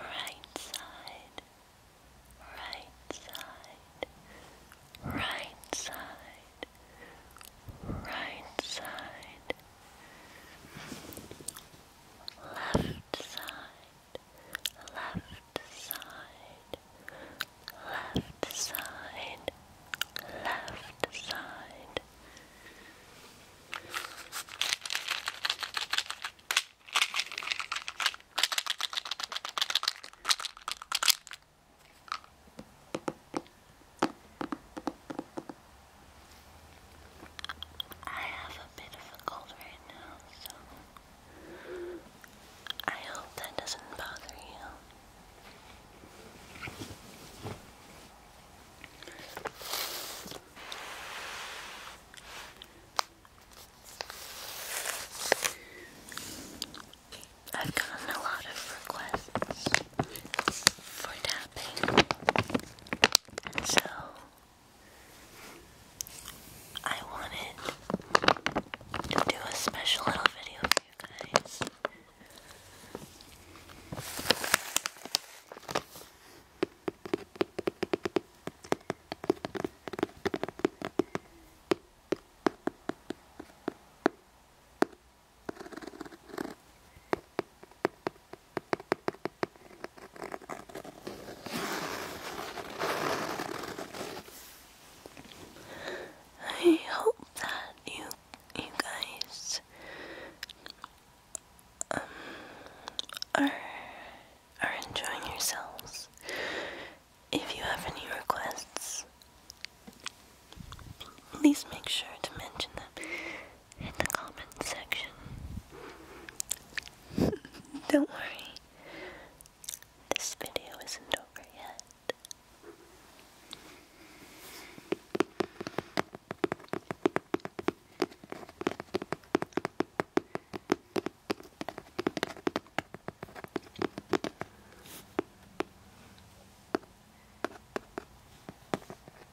Right side, right side, right side, right side, left side, left side, left side, left side. I have a bit of a cold right now, so I hope that doesn't bother you. I've gotten a lot of requests for happen. so I wanted to do a special little video for you guys. I hope that you you guys um, are are enjoying yourselves. If you have any requests, please make sure to mention them in the comment section. Don't worry, this video isn't over yet.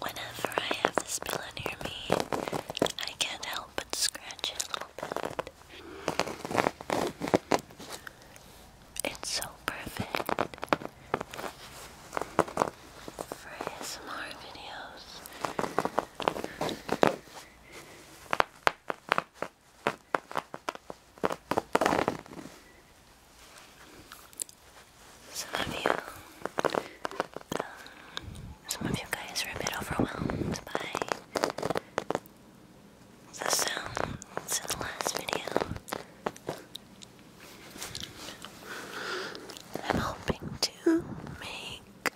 Whenever I have this pillow near me, I can't help but scratch it a little bit. It's so perfect for ASMR videos. Some of you, um, some of you guys are a bit overwhelmed by the sounds in the last video. I'm hoping to make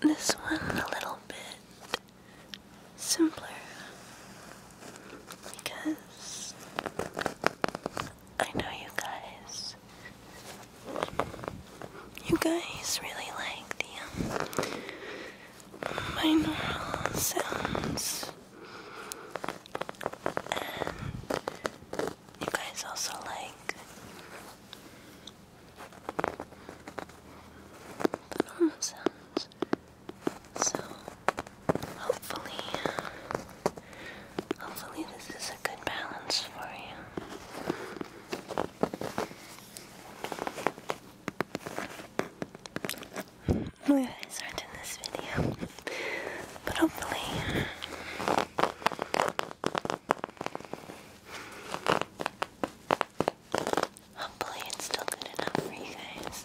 this one a little bit simpler because I know you guys. You guys really like the um, binaural sounds, and you guys also like the normal sounds. So hopefully hopefully this is a good balance for you. My eyes aren't in this video. But hopefully Hopefully, it's still good enough for you guys.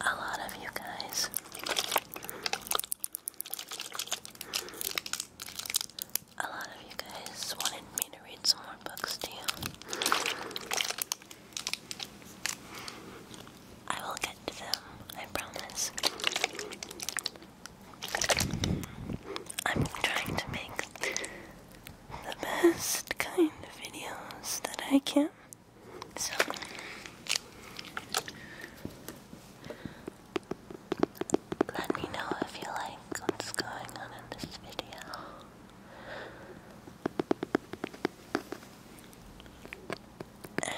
A lot of you guys a lot of you guys wanted me to read some more books to you. I will get to them, I promise. I'm trying to make the best kind of videos that I can. So let me know if you like what's going on in this video. And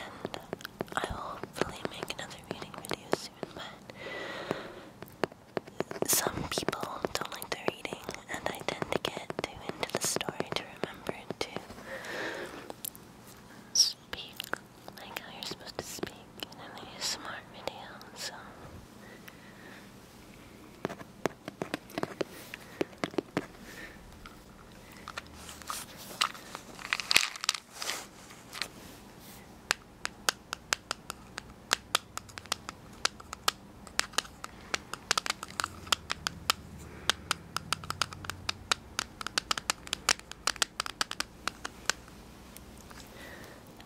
I will hopefully make another reading video soon, but some people don't like their reading, and I tend to get too into the story to remember to speak like how you're supposed to speak in an ASMR video, so.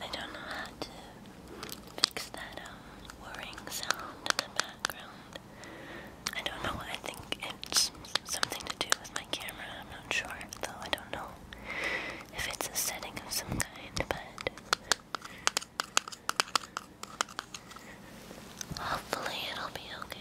I don't know how to fix that up. Um, whirring sound in the background. I don't know, I think it's something to do with my camera, I'm not sure, though I don't know if it's a setting of some kind, but hopefully it'll be okay.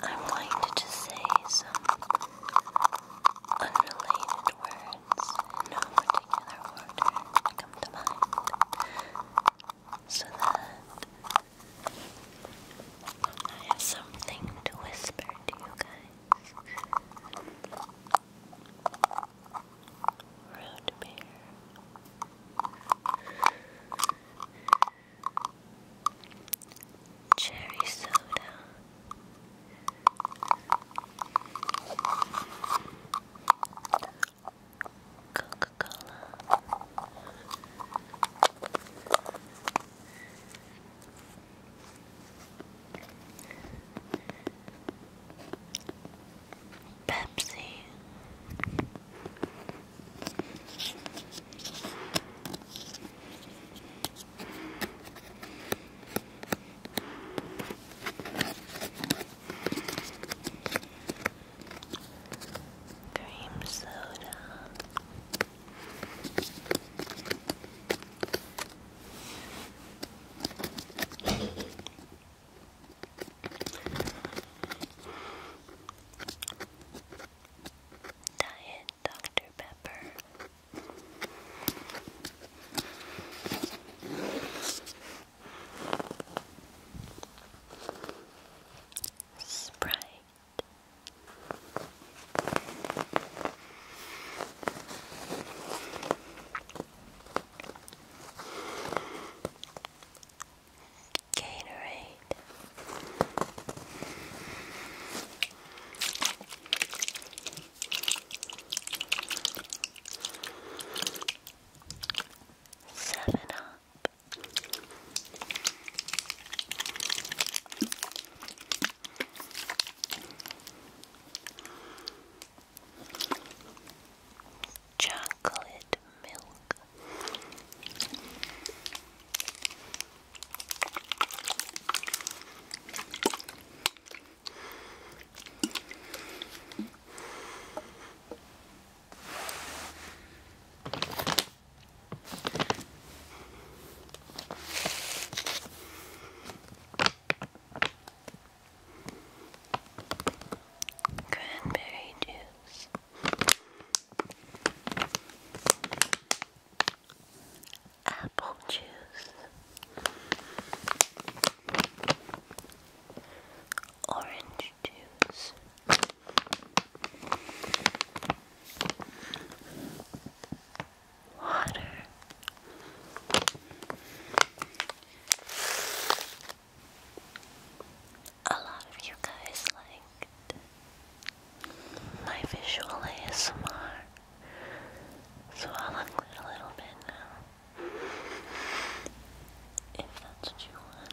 I'm going to just say some unrelated words no particular order come to mind so that I have something to whisper to you root beer, cherry soda, Coca Cola. Pepsi. Cream soda. Diet Dr. Pepper. Sprite Gatorade. Seven up. Chocolate milk. Cranberry juice. Apple juice. Orange juice water. A lot of you guys liked my visual ASMR, so I'll include a little bit now. If that's what you want.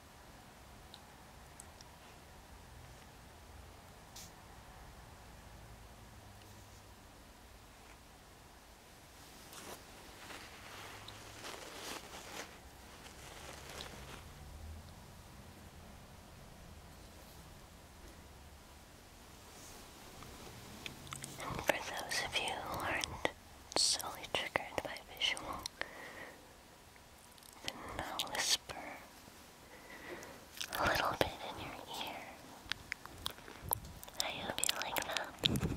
And for those of you who aren't solely triggered by visual, then I'll whisper a little bit in your ear. I hope you like that.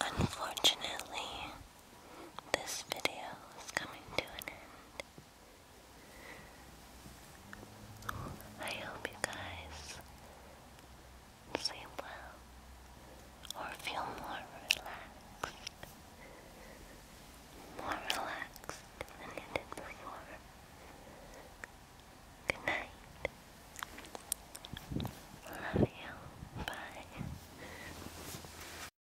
Unfortunately, this video is coming to an end. I hope you guys sleep well or feel more relaxed. More relaxed than you did before. Good night. Love you. Bye.